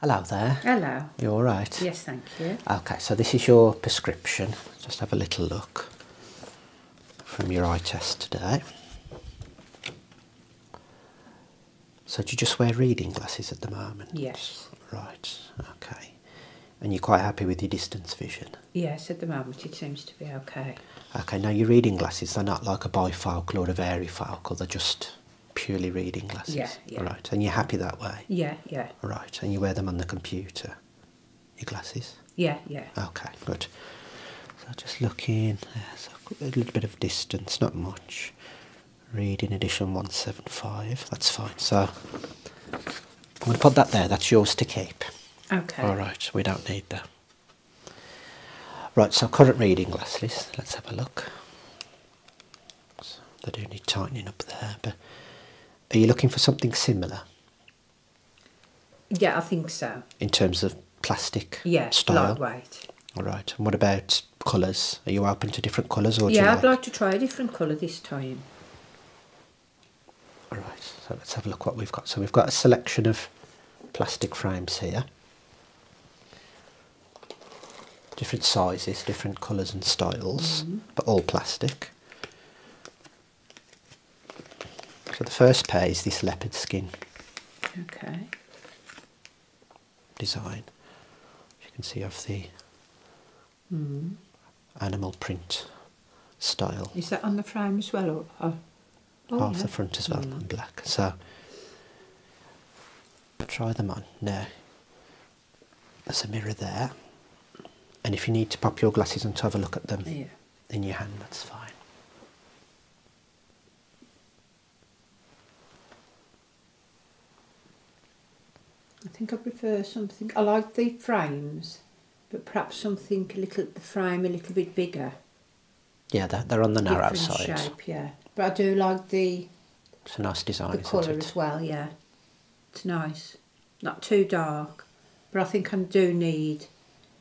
Hello there. Hello. You all all right? Yes, thank you. Okay, so this is your prescription. Just have a little look from your eye test today. So do you just wear reading glasses at the moment? Yes. Right, okay. And you're quite happy with your distance vision? Yes, at the moment it seems to be okay. Okay, now your reading glasses, they're not like a bifocal or a focal. they're just purely reading glasses? all right, and you're happy that way? Yeah, yeah. All right, and you wear them on the computer? Your glasses? Yeah, yeah. Okay, good. So just looking, there's a little bit of distance, not much. Reading edition 175, that's fine. So I'm going to put that there, that's yours to keep. Okay. All right, we don't need that. Right, so current reading glasses, let's have a look. So they do need tightening up there. But are you looking for something similar? Yeah, I think so. In terms of plastic? style? All right. And what about colours? Are you open to different colours? or Yeah, I'd like... like to try a different colour this time. All right. So let's have a look what we've got. So we've got a selection of plastic frames here different sizes, different colours and styles, mm-hmm. but all plastic. So the first pair is this leopard skin. Okay. Design. As you can see of the mm-hmm. animal print style. Is that on the frame as well, or, or? Oh, half the front as well mm. black. So try them on now there's a mirror there and if you need to pop your glasses and to have a look at them in your hand that's fine I think I prefer something I like the frames but perhaps something a little the frame a little bit bigger yeah they're, on the narrow side shape, yeah but I do like the it's a nice design. The colour as well, yeah. It's nice. Not too dark, but I think I do need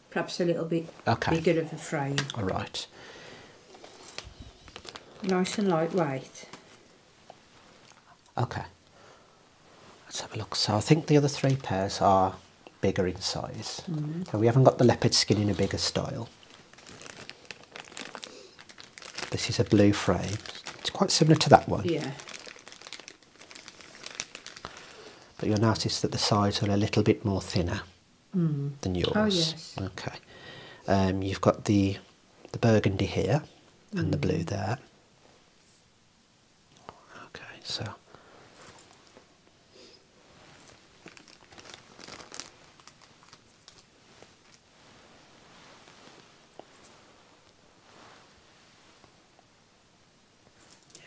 perhaps a little bit okay. bigger of a frame. All right. Nice and lightweight. Okay. Let's have a look. So I think the other three pairs are bigger in size. Mm. we haven't got the leopard skin in a bigger style. This is a blue frame. It's quite similar to that one. Yeah. But you'll notice that the sides are a little bit more thinner hmm. than oh, yours. Oh yes. Okay. Um, you've got the the burgundy here and the blue hmm. there. Okay, so yeah,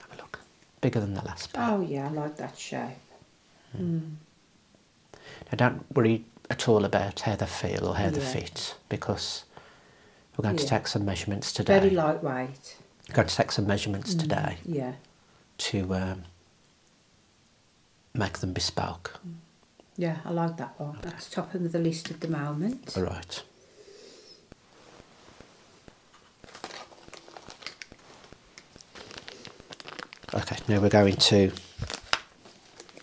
have a look. Bigger than the last pair. Oh yeah, I like that shape. Hmm. Hmm. Now don't worry at all about how they feel or how they fit because we're going to take some measurements today. Very lightweight. going to take some measurements today. Yeah. To um, make them bespoke. Yeah, I like that one. That's top of the list at the moment. All right. Okay, now we're going to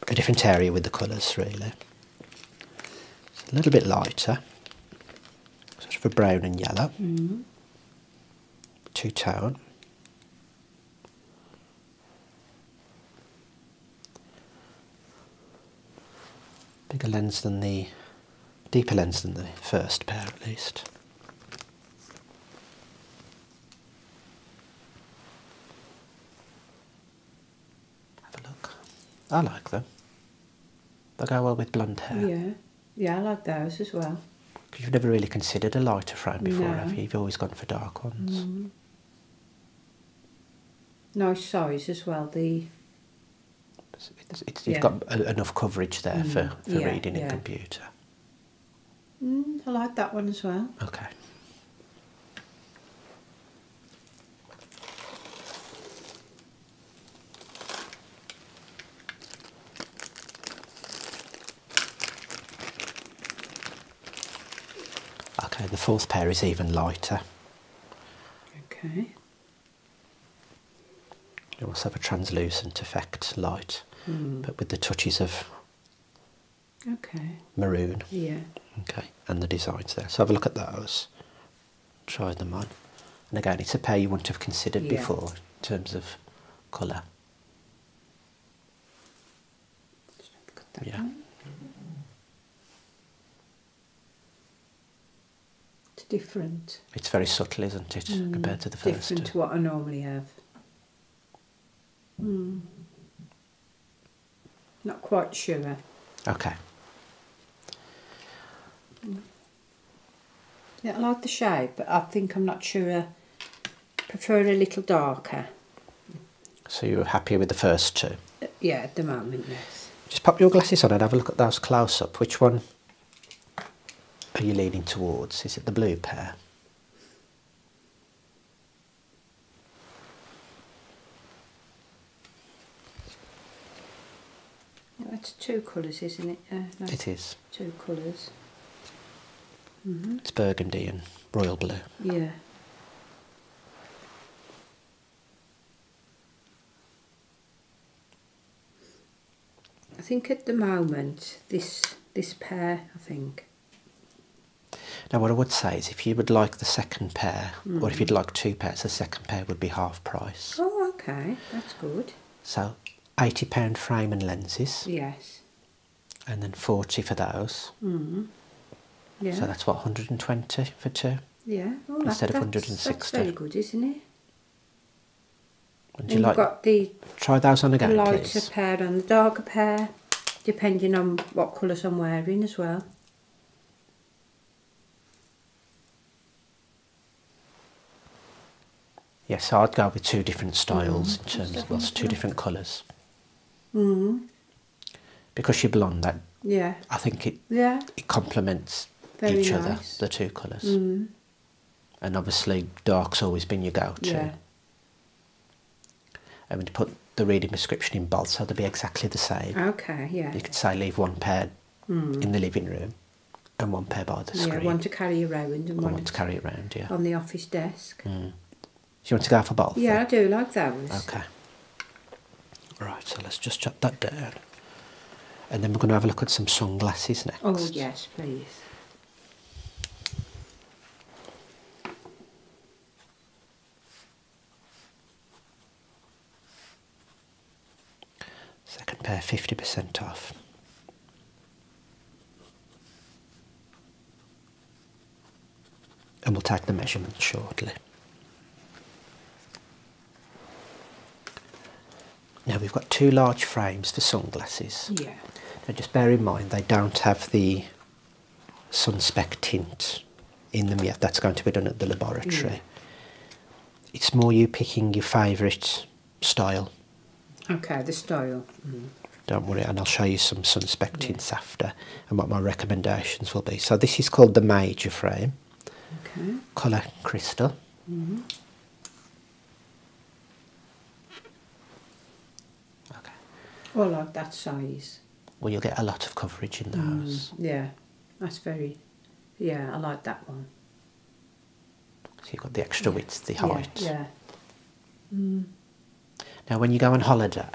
a different area with the colours really. It's a little bit lighter, sort of a brown and yellow, mm-hmm. two-tone, Bigger lens than the, deeper lens than the first pair at least. Have a look. I like them. They go well with blunt hair. Yeah, yeah, I like those as well. Because you've never really considered a lighter frame before, no. have you? You've always gone for dark ones. Mm. Nice size as well. The you've got enough coverage there for, mm. for reading yeah. computer. Mm, I like that one as well. Okay. Okay, the fourth pair is even lighter. Okay. It also have a translucent effect light, hmm. but with the touches of okay. maroon. Yeah. Okay, and the designs there. So have a look at those, try them on. And again, it's a pair you wouldn't have considered before in terms of colour yeah. It's different. It's very subtle, isn't it, mm. compared to the first? Different to what I normally have. Mm. Not quite sure. Okay. Mm. Yeah, I like the shape, but I think I'm not sure prefer a little darker. So you're happier with the first two? Uh, yeah, at the moment, yes. Just pop your glasses on and have a look at those close up. Which one are you leaning towards? Is it the blue pair? That's two colours, isn't it? it is. Two colours. Mm-hmm. It's burgundy and royal blue. Yeah. I think at the moment this this pair I think. Now what I would say is if you would like the second pair or if mm. you'd like two pairs the second pair would be half price. Oh okay, that's good. So 80 pound frame and lenses. Yes and then 40 for those. Mm-hmm. Yeah. So that's what 120 for two. Yeah. Oh, instead of 160. That's very good, isn't it? Would you like the try those on again, lighter pair and the darker pair, depending on what colours I'm wearing as well. Yes, I'd go with two different styles mm-hmm. in terms of well, two different colours. Mm-hmm. Because you blonde, that yeah, I think it yeah it complements each other the two colours. Mm-hmm. And obviously, dark's always been your go-to. Yeah. I mean, to put the reading prescription in both, so they'll be exactly the same. Okay, yeah. You could say leave one pair mm. in the living room and one pair by the screen. Yeah, one to carry around and, and one, to carry around, yeah. On the office desk. Mm. Do you want to go for both? Yeah, I do like those. Okay. all right. so let's just chop that down. And then we're going to have a look at some sunglasses next. Oh, yes, please. Second pair, 50% off and we'll take the measurements shortly. Now we've got two large frames for sunglasses. Yeah. Now just bear in mind they don't have the sunspec tint in them yet. That's going to be done at the laboratory. It's more you picking your favourite style Okay, the style. Don't worry, and I'll show you some sunspec tints and what my recommendations will be. So this is called the major frame. Okay. Colour crystal. Mm-hmm. Okay. Or like that size. Well, you'll get a lot of coverage in mm, the house. yeah, that's very. Yeah, I like that one. So you've got the extra width, the height. Yeah. Mm. Now, when you go on holiday,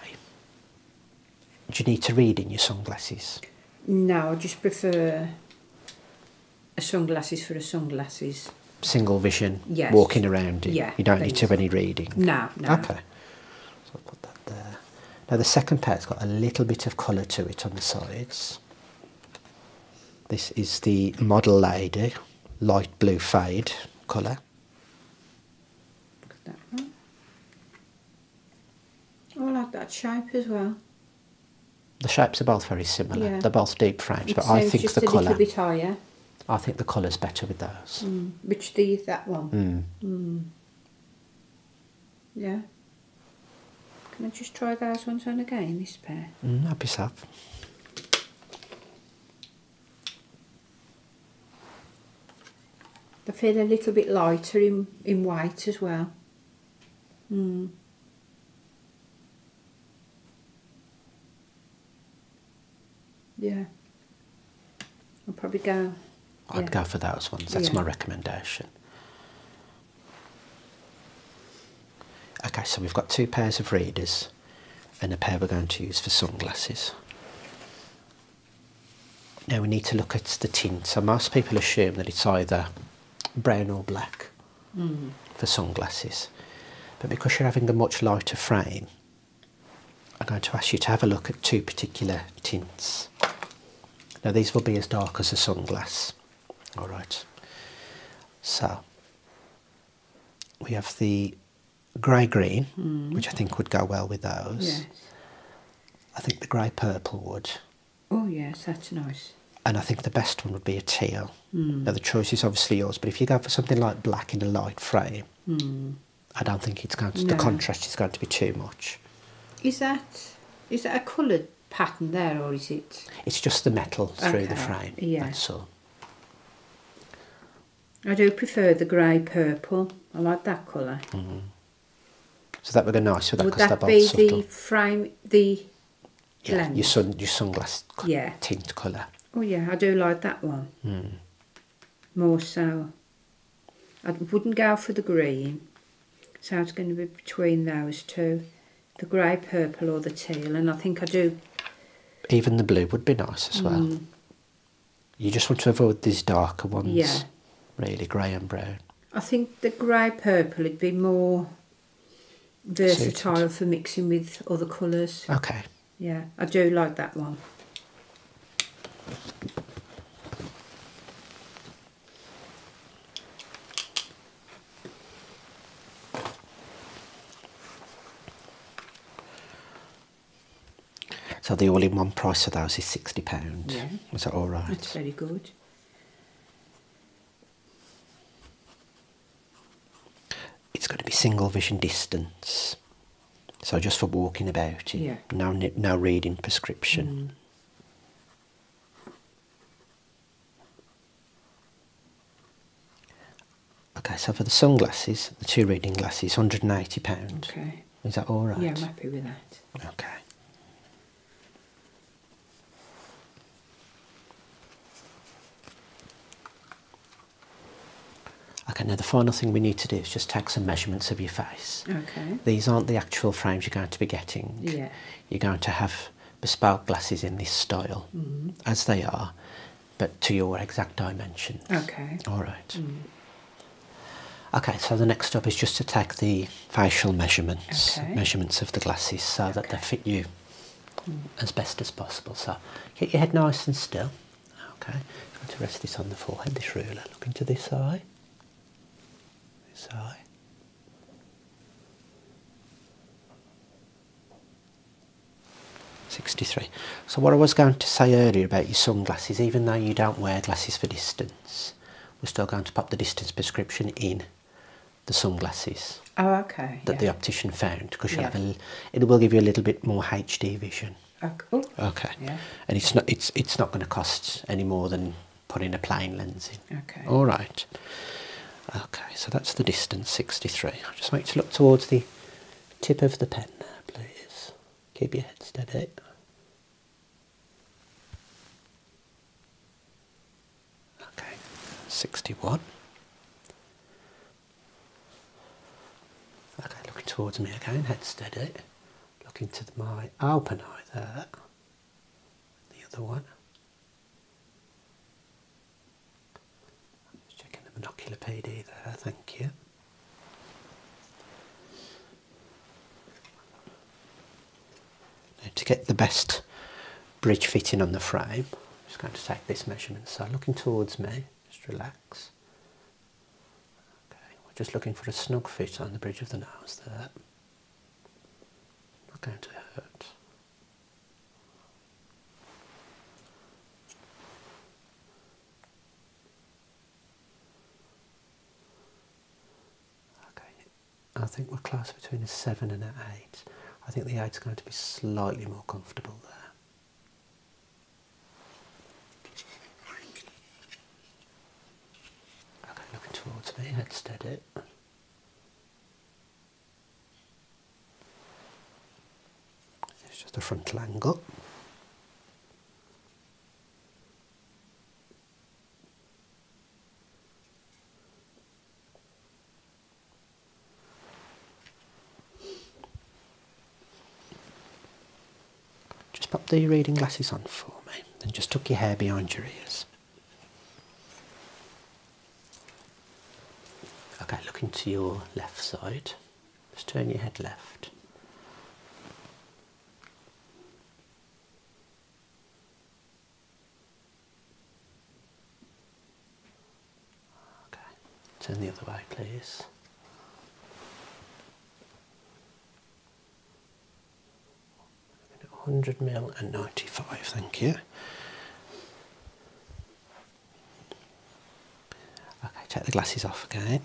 do you need to read in your sunglasses? No, I just prefer a sunglasses for a sunglasses. Single vision, yes. walking around it. you don't need to have any reading. No, no. Okay. So I'll put that there. Now the second pair's got a little bit of colour to it on the sides. This is the Model Lady light blue fade colour. Look at that one. Oh, I like that shape as well. The shapes are both very similar. They're both deep frames, but I think the colour. Bit higher. I think the colour's better with those. Mm. Which do you that one? Mm. Mm. Yeah. Can I just try those ones on again, this pair? Mm, that I feel a little bit lighter in, in white as well. Mm. Yeah. I'll probably go. I'd go for those ones. That's my recommendation. Okay, so we've got two pairs of readers and a pair we're going to use for sunglasses. Now we need to look at the tint. So most people assume that it's either brown or black mm. for sunglasses. But because you're having a much lighter frame, I'm going to ask you to have a look at two particular tints. Now these will be as dark as a sunglass. All right. So we have the grey green, hmm. which I think would go well with those. I think the grey purple would. Oh, yes, that's nice. And I think the best one would be a teal. Hmm. Now, the choice is obviously yours, but if you go for something like black in a light frame, hmm. I don't think it's going to, the contrast is going to be too much. Is that is that a coloured pattern there, or is it? It's just the metal through the frame. Yeah. I do prefer the grey purple. I like that colour. Mm-hmm. So that would be nice with that. Would that be the frame, the yeah, Your sun, your sunglass yeah. tint colour. Oh yeah, I do like that one. Mm. More so. I wouldn't go for the green. So it's going to be between those two, the grey purple or the teal, and I think I do. Even the blue would be nice as well. Mm. You just want to avoid these darker ones. Really, grey and brown. I think the grey purple it would be more versatile for mixing with other colours. Okay. Yeah, I do like that one. So the all-in-one price for those is sixty pounds. Is that all right? That's very good. It's going to be single vision distance, so just for walking about. It, yeah. No, no reading prescription. Mm. Okay, so for the sunglasses, the two reading glasses, £180. Okay. Is that all right? Yeah, I'm happy with that. Okay. Okay, now the final thing we need to do is just take some measurements of your face. Okay. These aren't the actual frames you're going to be getting. Yeah. You're going to have bespoke glasses in this style, mm-hmm. as they are but to your exact dimensions. Okay. All right. Mm. Okay, so the next step is just to take the facial measurements, measurements of the glasses, so that they fit you mm. as best as possible. So keep your head nice and still. Okay, I'm going to rest this on the forehead, this ruler. Look into this eye. This eye. 63. So what I was going to say earlier about your sunglasses, even though you don't wear glasses for distance, we're still going to pop the distance prescription in the sunglasses. Oh, okay. That the optician found because it will give you a little bit more HD vision. Okay. Oh, okay. Yeah. And it's not it's it's not going to cost any more than putting a plain lens in. Okay. All right. Okay. So that's the distance 63. i just make to look towards the tip of the pen there, please. Keep your head steady. Okay, 61. Okay, looking towards me again, head steady. Looking to my Alpen there. The other one. Just checking the binocular PD there, thank you. to get the best bridge fitting on the frame, I'm just going to take this measurement. So looking towards me, just relax. Okay, we're just looking for a snug fit on the bridge of the nose there. Not going to hurt. Okay, I think we're close between a 7 and an 8. I think the eight is going to be slightly more comfortable there. Okay, looking towards me, head steady. It's just a frontal angle. Just pop the reading glasses on for me and just tuck your hair behind your ears. Okay, look into your left side. Just turn your head left. Okay, turn the other way, please. Hundred mil and ninety-five. Thank you. Okay, take the glasses off again.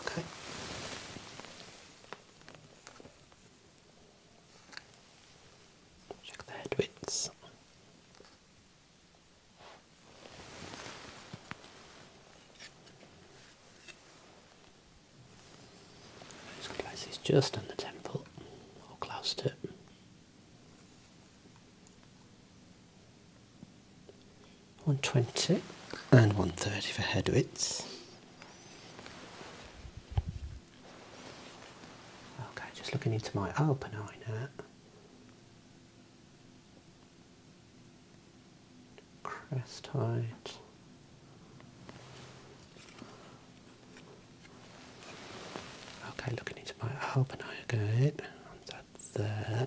Okay. Check the head this place is just on the temple, or close to it. One twenty and one thirty for Hedwitz. Okay, just looking into my open eye now crest height. Okay, looking into my open eye again. That's there.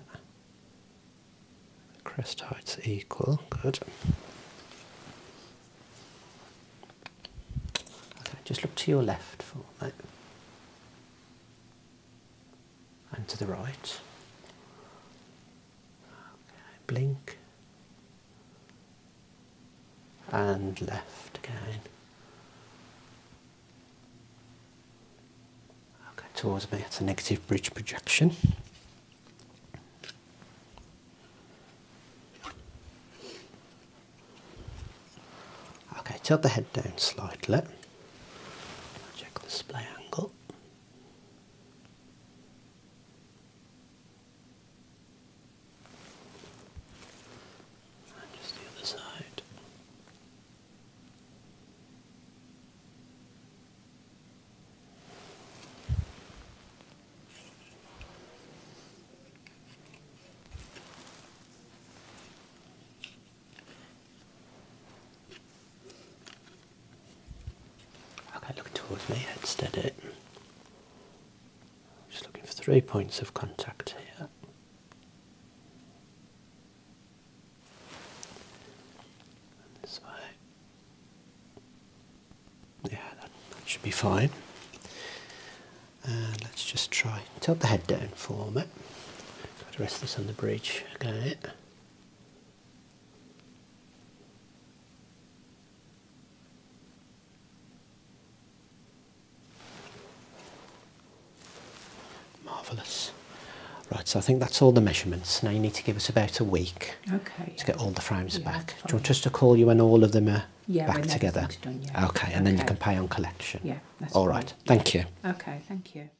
Crest height's equal. Good. Okay, just look to your left for me and to the right. Okay, blink and left again. Okay, towards me, it's a negative bridge projection. Okay, tilt the head down slightly. Check the display angle out. And just the other side. Okay, look towards me, head steady. Just looking for three points of contact here. this way. Yeah, that, should be fine. And let's just try tilt the head down for me. Got to rest this on the bridge. Got Marvellous. Right, so I think that's all the measurements. Now you need to give us about a week to get all the frames back. Just to call you when all of them are back together? Okay, and then you can pay on collection. Yeah, All right, thank you. Okay, thank you.